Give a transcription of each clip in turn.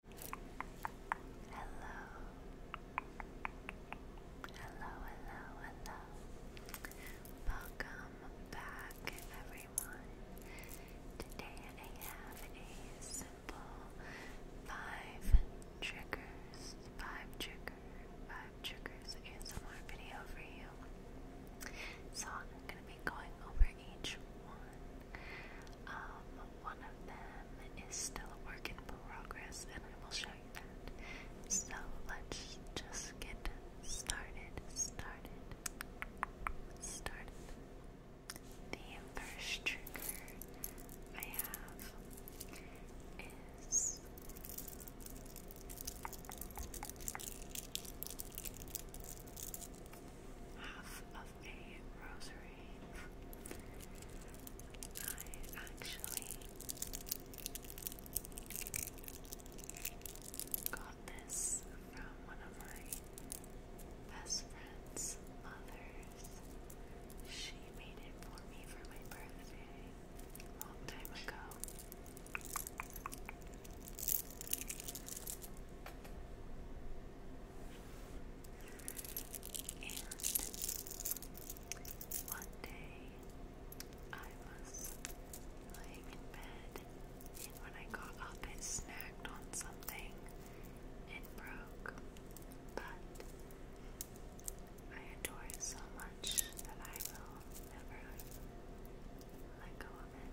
Hello. Hello, hello, Welcome back, everyone. Today I have a simple five triggers, five trigger, five triggers ASMR video for you. So I'm going to be going over each one. Um, one of them is still work in progress, and I will show you that. So let's just get started. Started. Started. The first trigger I have is. Half of a rosary. I actually got this from one of my best friend's uh, mothers. She made it for me for my birthday long time ago. And one day I was laying in bed, and when I got up, it snagged on something and broke. But I adore it so much that I will never let go of it.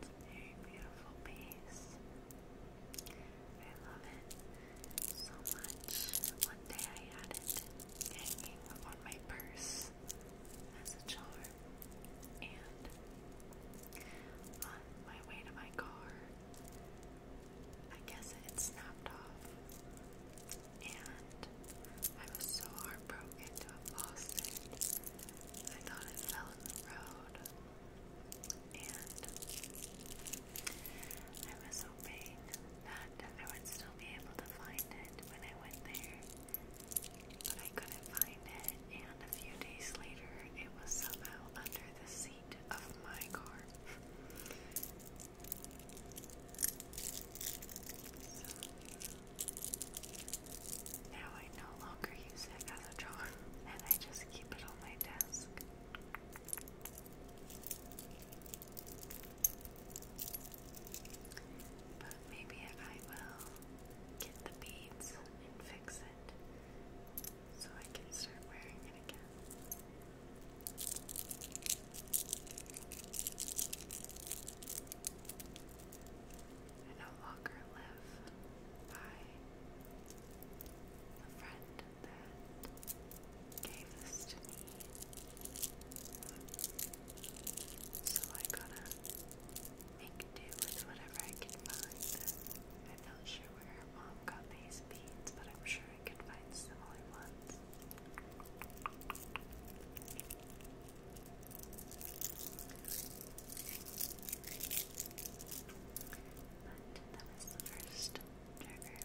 It's a beautiful piece. I love it so much. One day I had it hanging on my purse as a charm, and on my way to my car, I guess it snapped off, and I was so heartbroken to have lost it. I thought it fell in the road, and I was hoping that I would still be able to find it when I went there, but I couldn't find it, and a few days later, it was somehow under the seat of my car. Now I no longer use it as a and I just keep it on my desk. But maybe I will get the beads and fix it so I can start wearing it again. I no longer live by the friend that gave this to me. So I gotta make do with whatever I can find. I'm not sure where her mom got these beads, but I'm sure I could find similar ones. But that is the first trigger.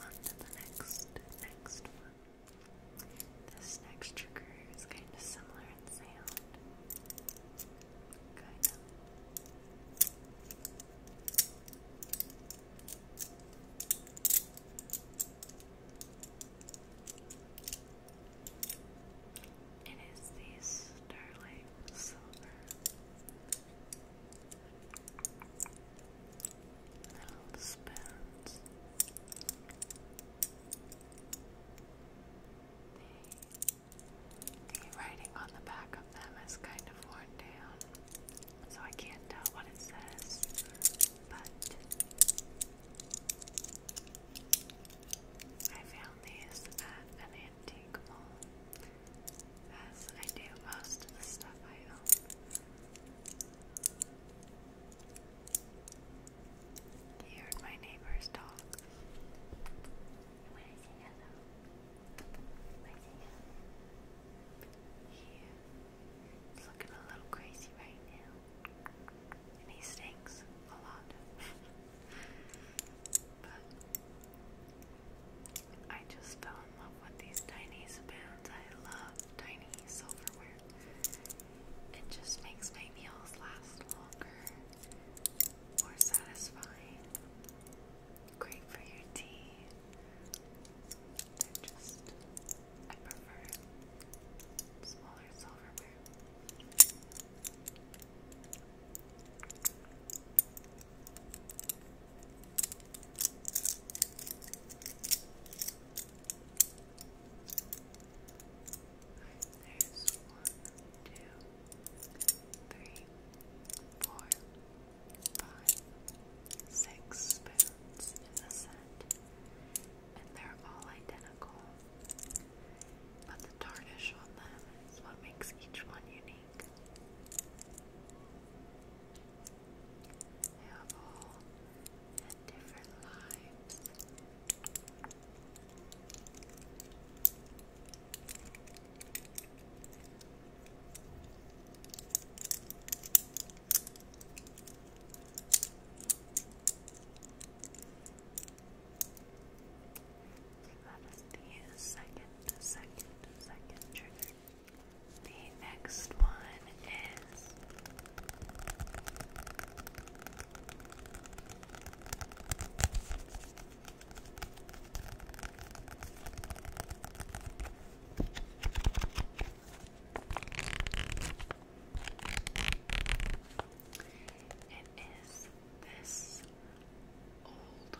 On to the next, next one. This next trigger is kind of similar in sound. Kind it is the sterling silver. Little spoons. The, the writing on the back of them is kind of worn down, so I can't tell what it says, but I found these at an antique mall, as I do most of the stuff I own. He heard my neighbor's dog. When I say hello, when I say hello, he is looking a little crazy right now. And he stinks a lot. but I just fell in love with these tiny spoons. I love tiny silverware. It just makes my meals last longer, more satisfying. Great for your tea. They're just, I prefer smaller silverware. There's one, two, three, four, five, six spoons in the set, and they're all identical but the tarnish on them is what makes each one unique. They have all different lives. That is the second, second, second trigger. The next one is it is this old,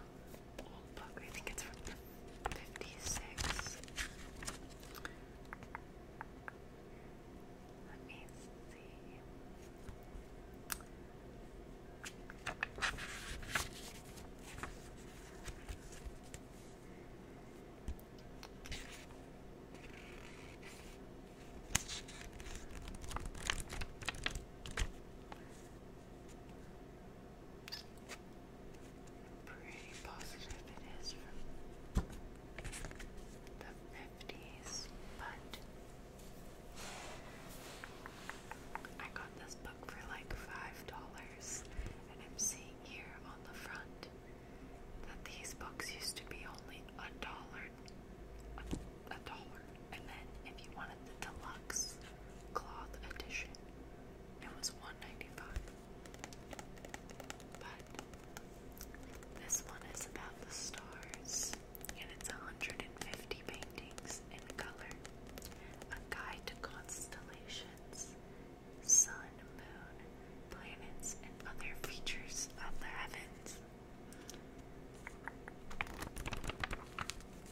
old book. I think it's from 56. Let me see. Pretty positive it is from the fifties, but I got this book for like five dollars and I'm seeing here on the front that these books used to be only a dollar, a, dollar, and then if you wanted the deluxe cloth edition, it was one ninety five. But this one is about the stars, and it's hundred and fifty paintings in color, a guide to constellations, sun, sun, moon, planets, and other features of the heavens.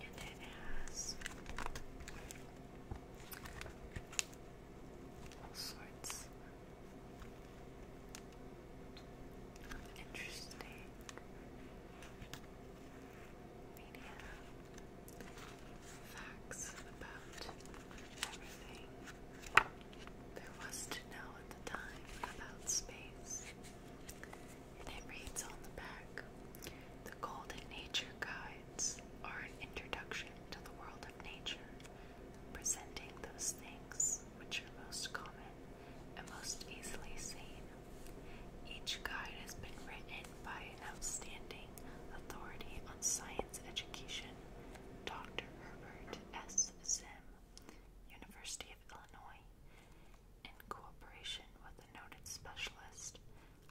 And it has all sorts of interesting media facts about there was to know at the time about space. And it reads on the back The Golden Nature Guides are an introduction to the world of nature, presenting those things which are most common and most easily seen. Each guide has been written by an outstanding authority on science education, Dr. Herbert S. Thomas University of Illinois, in cooperation with a noted specialist.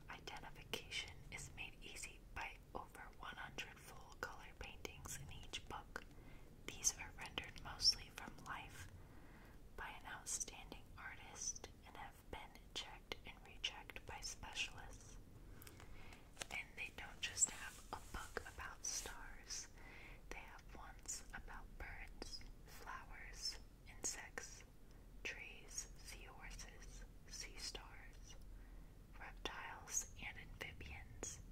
Identification is made easy by over 100 full color paintings in each book. These are rendered mostly from life by an outstanding artist and have been checked and rechecked by specialists. And they don't just have a book about stars, they have ones about birds, flowers, insects, trees, sea horses, sea stars, reptiles and amphibians,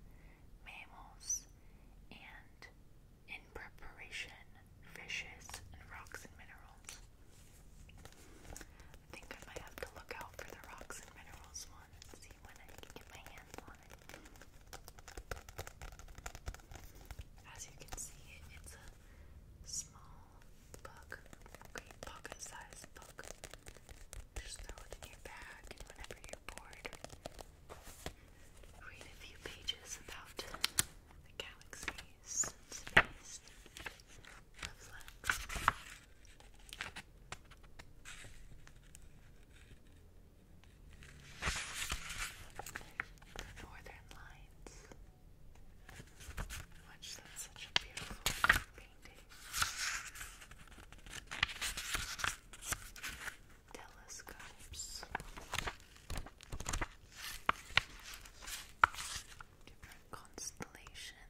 mammals, and in preparation, fishes and rocks and minerals. I think I might have to look out for the rocks and minerals on As you can see, it's a small book, pocket-sized book. Just throw it in your bag, whenever you're bored, read a few pages about the galaxies, space, love the northern lights. Watch that's such a beautiful painting. Telescopes. Different constellations.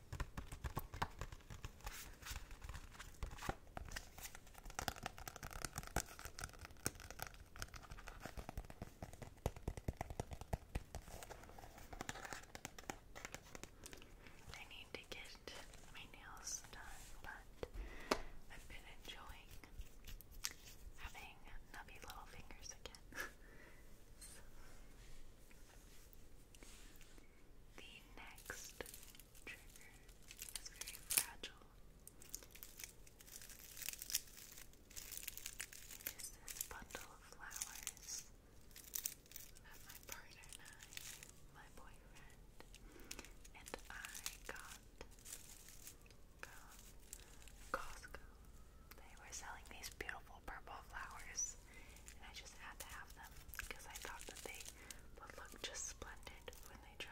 I need to get my nails done, but I've been enjoying having nubby little fingers again. The next trigger is very fragile. It is this bundle of flowers that my partner and my boyfriend, and I got from Costco. They were selling these beautiful purple flowers necklace, and I just had to have them because I thought that they would look just splendid when they dried.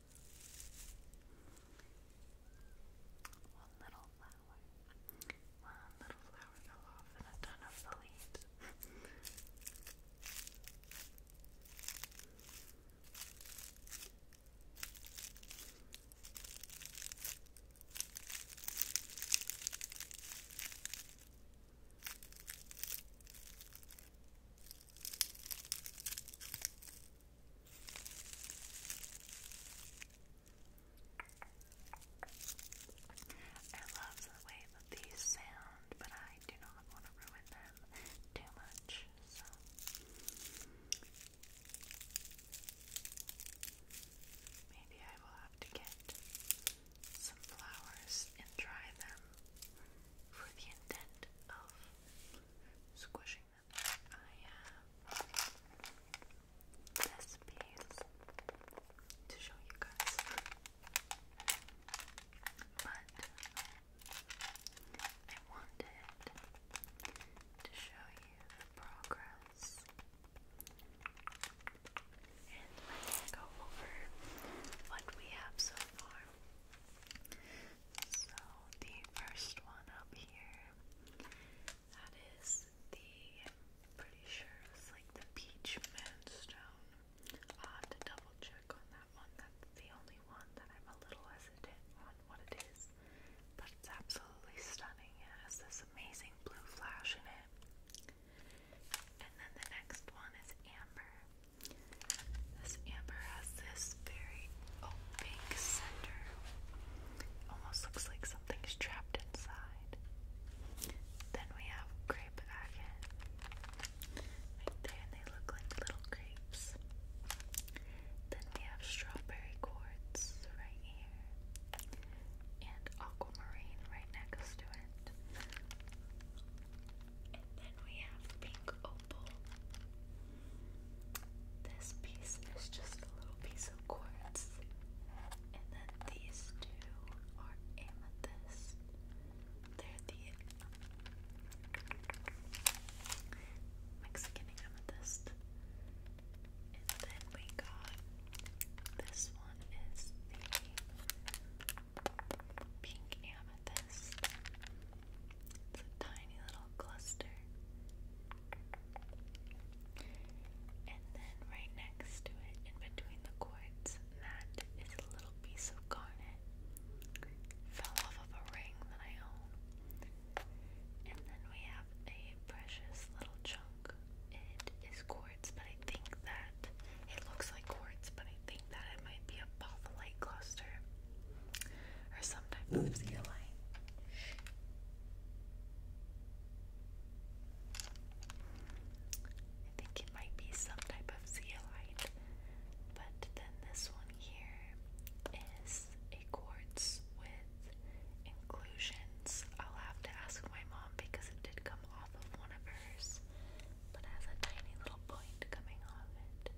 One little flower. One little flower and a ton of the I love the way that these sound, but I do not want to ruin them too much, so. Maybe I will have to get some flowers and dry them for the intent of squishing I have this piece to show you guys. But I wanted to show you progress. And let's go over what we have so far. So the first one up here, that is the pretty sure it's like the peach moonstone. I'll have to double check on that one. That's the only one that I'm a little hesitant on what it is. But it's absolutely stunning. It has this amazing blue flash in it. And then the next one is amber. This amber has this very opaque oh, center. Almost looks like something's trapped inside. Then we have grape agate. Right there, and they look like little grapes. Then we have strawberry quartz right here. And aquamarine right next to it. And then we have pink this piece is just a little piece of quartz, and then these two are amethyst. They're the Mexican amethyst. And then we got this one is the pink amethyst. It's a tiny little cluster. And then right next to it, in between the quartz mat, a little piece of garnet. Fell off of a ring that I own. And then we have a precious little chunk. It is quartz, but I think that it looks like quartz, but I think that it might be a botholite cluster or some type of zeolite. I think it might be some type of zeolite, but then this one here is a quartz with inclusions. I'll have to ask my mom because it did come off of one of hers, but has a tiny little point coming off it.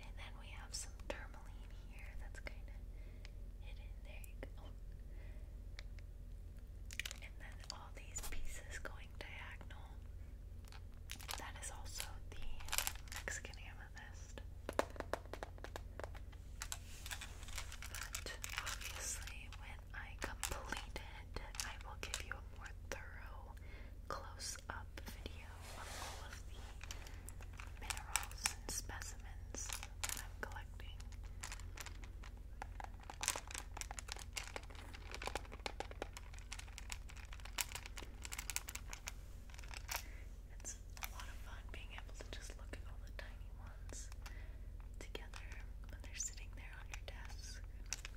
And then we have some tourmaline here that's kind of hidden. There And then all these pieces going diagonal. That is also the Mexican amethyst. But obviously, when I complete it, I will give you a more thorough close-up video of all of the minerals and specimens I'm collecting. It's a lot of fun being able to just look at all the tiny ones together when they're sitting there on your desk. I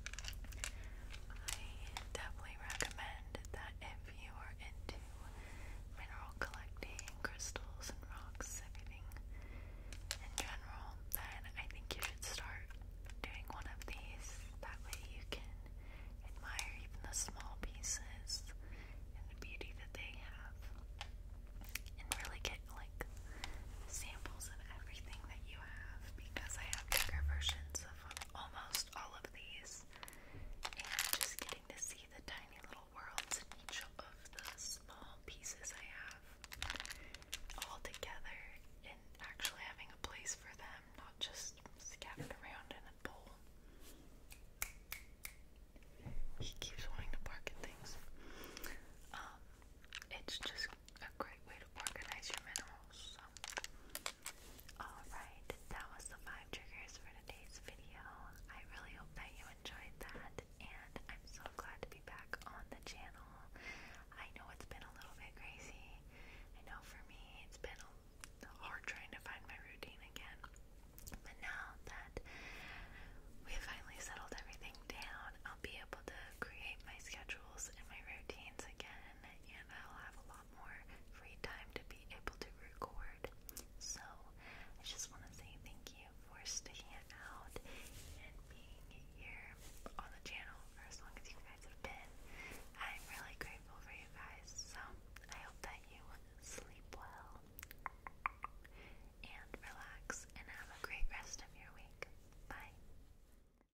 definitely recommend that if you are into mineral collecting, crystals and rocks, everything in general, then I think you should start doing one of these. That way you can admire even the small pieces and the beauty that they have. And really get like samples of everything that you have because I have bigger versions of almost all of these and just getting to see the tiny little worlds in each of the small pieces I have all together and actually having a place for them, not just scattered around in a bowl. He keeps wanting to bark at things. Um, it's just a great way to organize your minerals. Alright, that was the 5 triggers for today's video. I really hope that you enjoyed that, and I'm so glad to be back on the channel. I know it's been a little bit crazy. I know for me it's been hard trying to find my routine again. But now that we have finally settled everything down, I'll be able to create my schedules and my routines again and I'll have a lot more free time to be able to record. So I just want to say thank you for sticking out and being here on the channel for as long as you guys have been. I'm really grateful for you guys, so I hope that you sleep well and relax and have a great rest of your week. Bye.